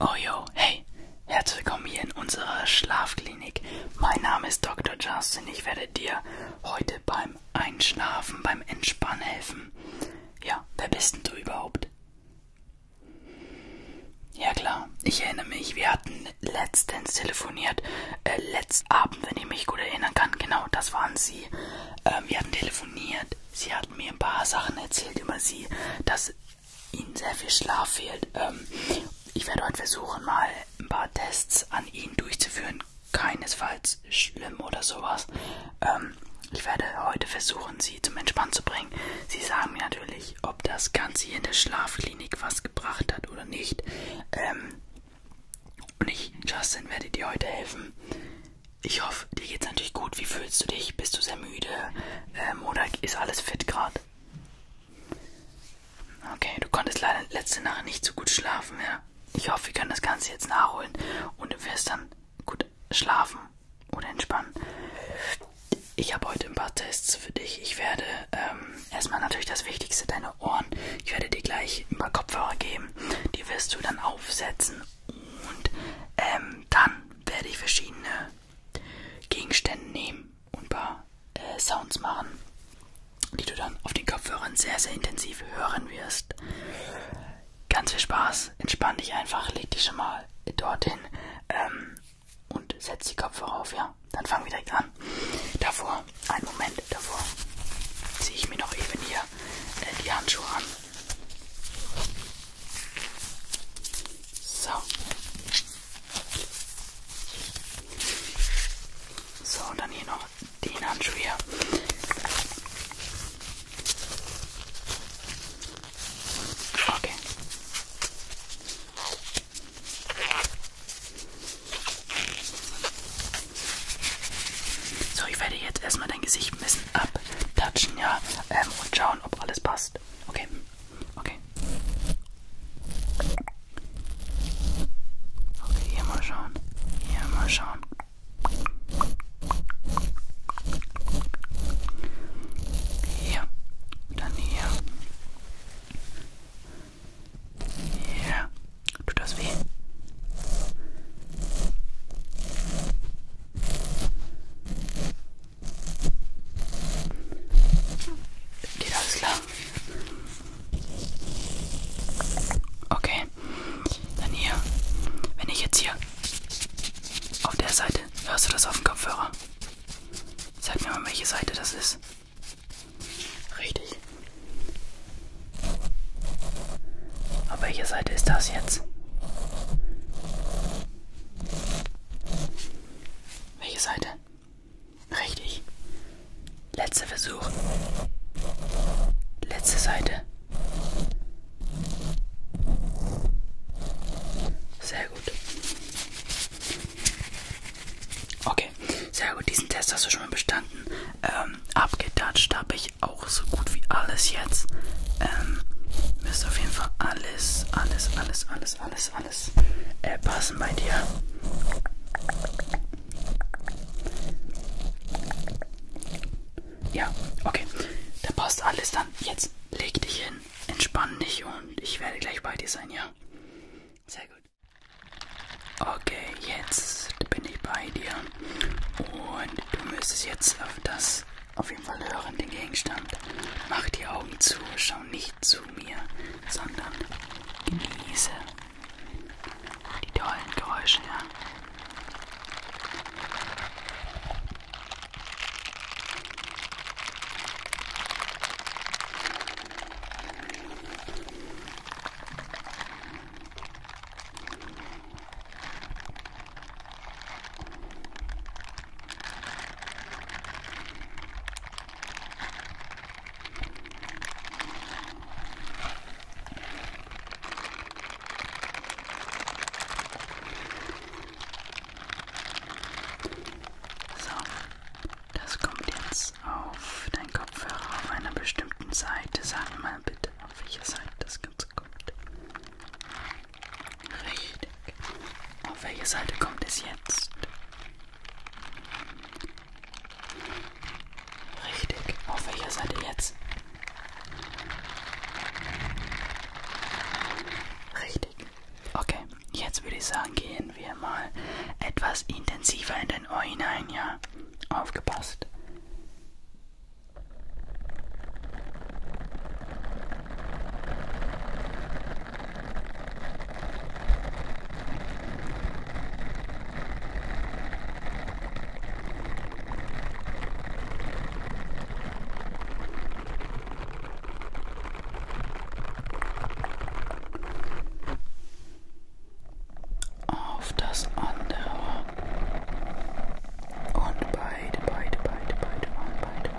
Oh yo, hey, herzlich willkommen hier in unserer Schlafklinik. Mein Name ist Dr. Justin. Ich werde dir heute beim Einschlafen, beim Entspannen helfen. Ja, wer bist denn du überhaupt? Ja klar, ich erinnere mich, wir hatten letztens telefoniert, äh, letzten Abend, wenn ich mich gut erinnern kann, genau, das waren Sie. Ähm, wir hatten telefoniert, Sie hatten mir ein paar Sachen erzählt über Sie, dass Ihnen sehr viel Schlaf fehlt. Ähm, ich werde heute versuchen, mal ein paar Tests an Ihnen durchzuführen. Keinesfalls schlimm oder sowas. Ähm, ich werde heute versuchen, Sie zum Entspannen zu bringen. Sie sagen mir natürlich, ob das Ganze hier in der Schlafklinik was gebracht hat oder nicht. Ähm, und ich, Justin, werde dir heute helfen. Ich hoffe, auf. Dir geht's natürlich gut. Wie fühlst du dich? Bist du sehr müde? Ähm, oder ist alles fit gerade? Okay, du konntest leider letzte Nacht nicht so gut schlafen, ja. Ich hoffe, wir können das Ganze jetzt nachholen und du wirst dann gut schlafen oder entspannen. Ich habe heute ein paar Tests für dich. Ich werde ähm, erstmal natürlich das Wichtigste, deine Ohren. Ich werde dir gleich ein paar Kopfhörer geben. Die wirst du dann aufsetzen und ähm, dann werde ich verschiedene Gegenstände nehmen und ein paar äh, Sounds machen, die du dann auf den Kopfhörern sehr, sehr intensiv hören wirst. Ganz viel Spaß, entspann dich einfach, leg dich schon mal dorthin ähm, und setz die Kopfhörer auf, ja. Dann fangen wir direkt an. Davor, einen Moment, davor ziehe ich mir noch eben hier äh, die Handschuhe an. So. So, dann hier noch den Handschuh hier. Okay. So, ich werde jetzt erstmal dein Gesicht ein bisschen abtatschen, ja, ähm, und schauen, ob alles passt. Okay. Okay. Okay, hier mal schauen. Hier mal schauen. Hier. Dann hier. Hier. Tut das weh? Geht alles klar? Okay. Dann hier. Wenn ich jetzt hier auf der Seite. Hörst du das auf dem Kopfhörer? Sag mir mal, welche Seite das ist. Richtig. Auf welcher Seite ist das jetzt? Welche Seite? Richtig. Letzter Versuch. Letzte Seite. Sehr gut. Okay, sehr gut. Diesen Test hast du schon mal bestanden. Ähm, abgedatscht habe ich auch so gut wie alles jetzt. Ähm, müsst auf jeden Fall alles alles, alles, alles, alles, alles, alles äh, passen bei dir. Ja, okay. Dann passt alles dann. Jetzt leg dich hin, entspann dich und ich werde gleich bei dir sein, ja? Sehr gut. Okay, jetzt bin ich bei dir. Und du müsstest jetzt auf das auf jeden Fall hören den Gegenstand. Mach die Augen zu, schau nicht zu mir, sondern genieße die tollen Geräusche. Ja. So, das kommt jetzt auf deinen Kopfhörer auf einer bestimmten Seite. Sag mal bitte, auf welcher Seite das Ganze kommt. Richtig. Auf welche Seite kommt es jetzt? Richtig. Auf welcher Seite jetzt? Richtig. Okay, jetzt würde ich sagen, gehen wir mal etwas intensiver in dein Ohr hinein, ja? Aufgepasst auf das andere und beide, beide, beide, beide, beide, beide.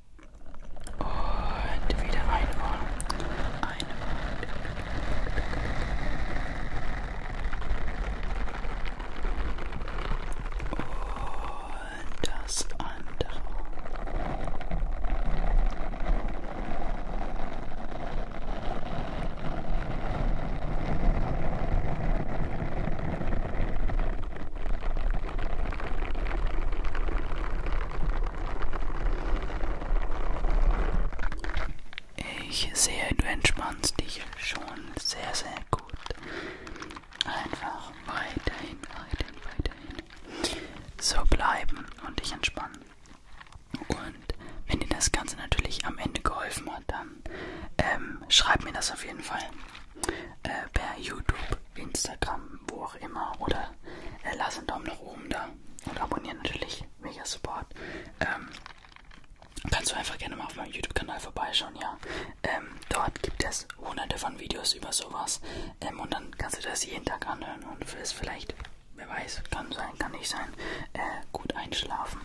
Und wieder ein Ohr. Ein Ohr. Und das andere. Ich sehe, du entspannst dich schon sehr, sehr gut. Einfach weiterhin, weiterhin, weiterhin so bleiben und dich entspannen. Und wenn dir das Ganze natürlich am Ende geholfen hat, dann ähm, schreib mir das auf jeden Fall äh, per YouTube Instagram, wo auch immer. Oder äh, lass einen Daumen nach oben da und abonnieren natürlich. Mega Support. Ähm, kannst du einfach gerne mal auf meinem YouTube-Kanal vorbeischauen, ja. Ähm, dort gibt es hunderte von Videos über sowas. Ähm, und dann kannst du das jeden Tag anhören und wirst vielleicht, wer weiß, kann sein, kann nicht sein, äh, gut einschlafen.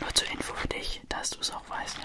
Nur zur Info für dich, dass du es auch weißt, ja.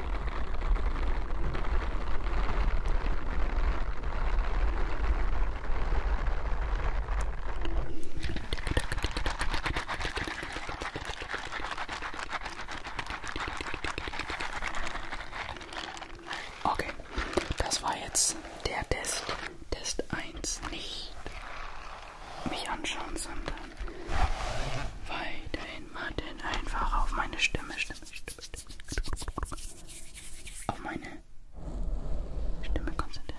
Okay, das war jetzt der Test. Test 1. Nicht mich anschauen, sondern weiterhin warten. Einfach auf meine Stimme, Stimme, Stimme auf meine Stimme konzentriert.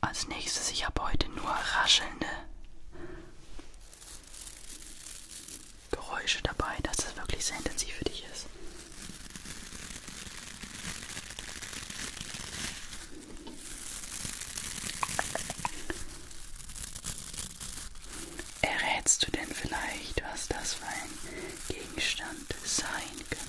Als nächstes, ich habe heute nur raschelnde Geräusche dabei, dass es wirklich sehr intensiv für dich ist. Errätst du denn vielleicht, was das für ein Gegenstand sein könnte?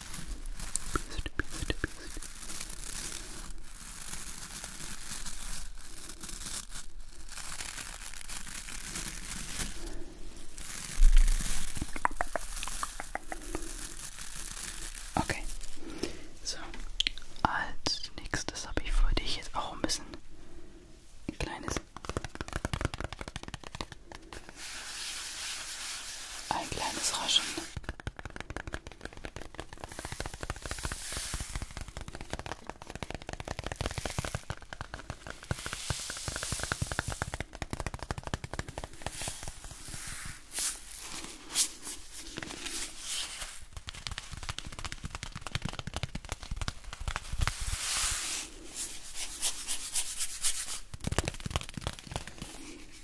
Pust, pust, pust. Okay, so als nächstes habe ich für dich jetzt auch ein bisschen ein kleines ein kleines Raschen.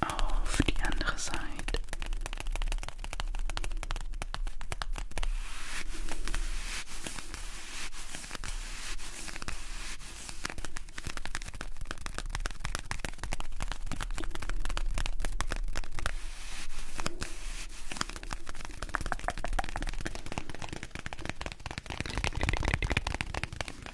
auf die andere Seite.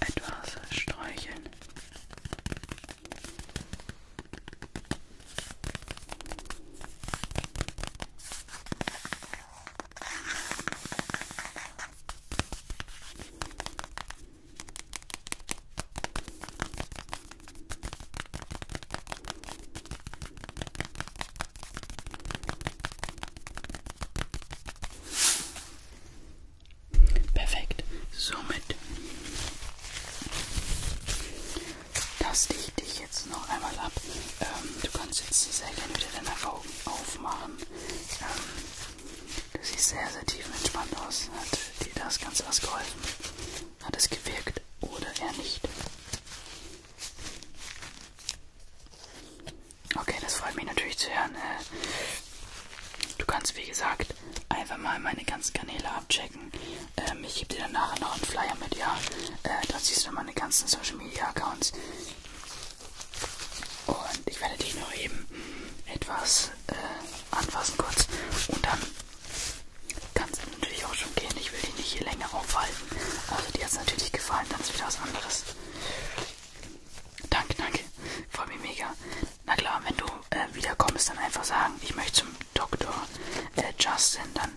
Etwas streicheln. Perfekt. Somit das dichte ich jetzt noch einmal ab. Ähm, du kannst jetzt sehr gerne wieder deine Augen aufmachen. Ähm, du siehst sehr, sehr tiefenentspannt aus. Hat dir das Ganze was geholfen? Hat es gewirkt oder eher nicht? Okay, das freut mich natürlich zu hören. Äh, du kannst, wie gesagt, einfach mal meine ganzen Kanäle abchecken. Ähm, ich gebe dir dann nachher noch einen Flyer mit, ja? Äh, da siehst du meine meine ganzen Social Media Accounts. Und ich werde die nur eben etwas äh, anfassen kurz. Und dann kann es natürlich auch schon gehen. Ich will die nicht hier länger aufhalten. Also die hat es natürlich gefallen, dann ist wieder was anderes. Danke, danke. Freut mich mega. Na klar, wenn du äh, wiederkommst, dann einfach sagen, ich möchte zum Dr. Äh, Justin, dann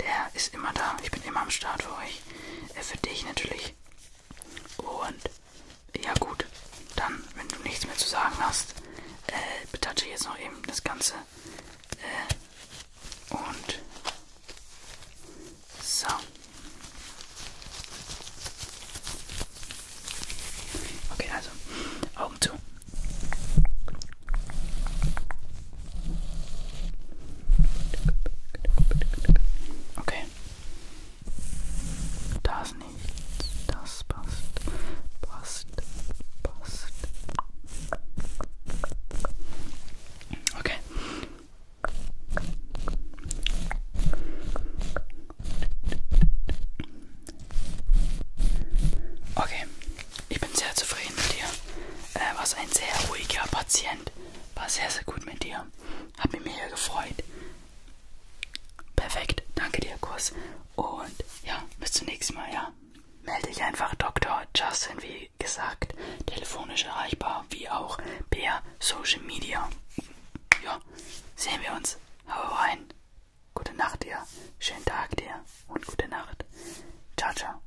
der ist immer da. Ich bin immer am Start für euch. Äh, für dich natürlich. Und ja gut, dann, wenn du nichts mehr zu sagen hast, äh, betatsche ich jetzt noch eben das Ganze. Äh, und so. Okay, also Augen zu. Okay. Das nicht. Das passt. Passt. Passt. Okay. Okay, ich bin sehr zufrieden mit dir. Äh, was ein sehr ruhiger Patient. War sehr, sehr gut mit dir. Hab mich mega gefreut. Perfekt. Danke dir, Kuss. Und ja, bis zum nächsten Mal, ja. Melde dich einfach Dr. Justin, wie gesagt. Telefonisch erreichbar, wie auch per Social Media. Ja, sehen wir uns. Hau rein. Gute Nacht dir. Schönen Tag dir. Und gute Nacht. Ciao, ciao.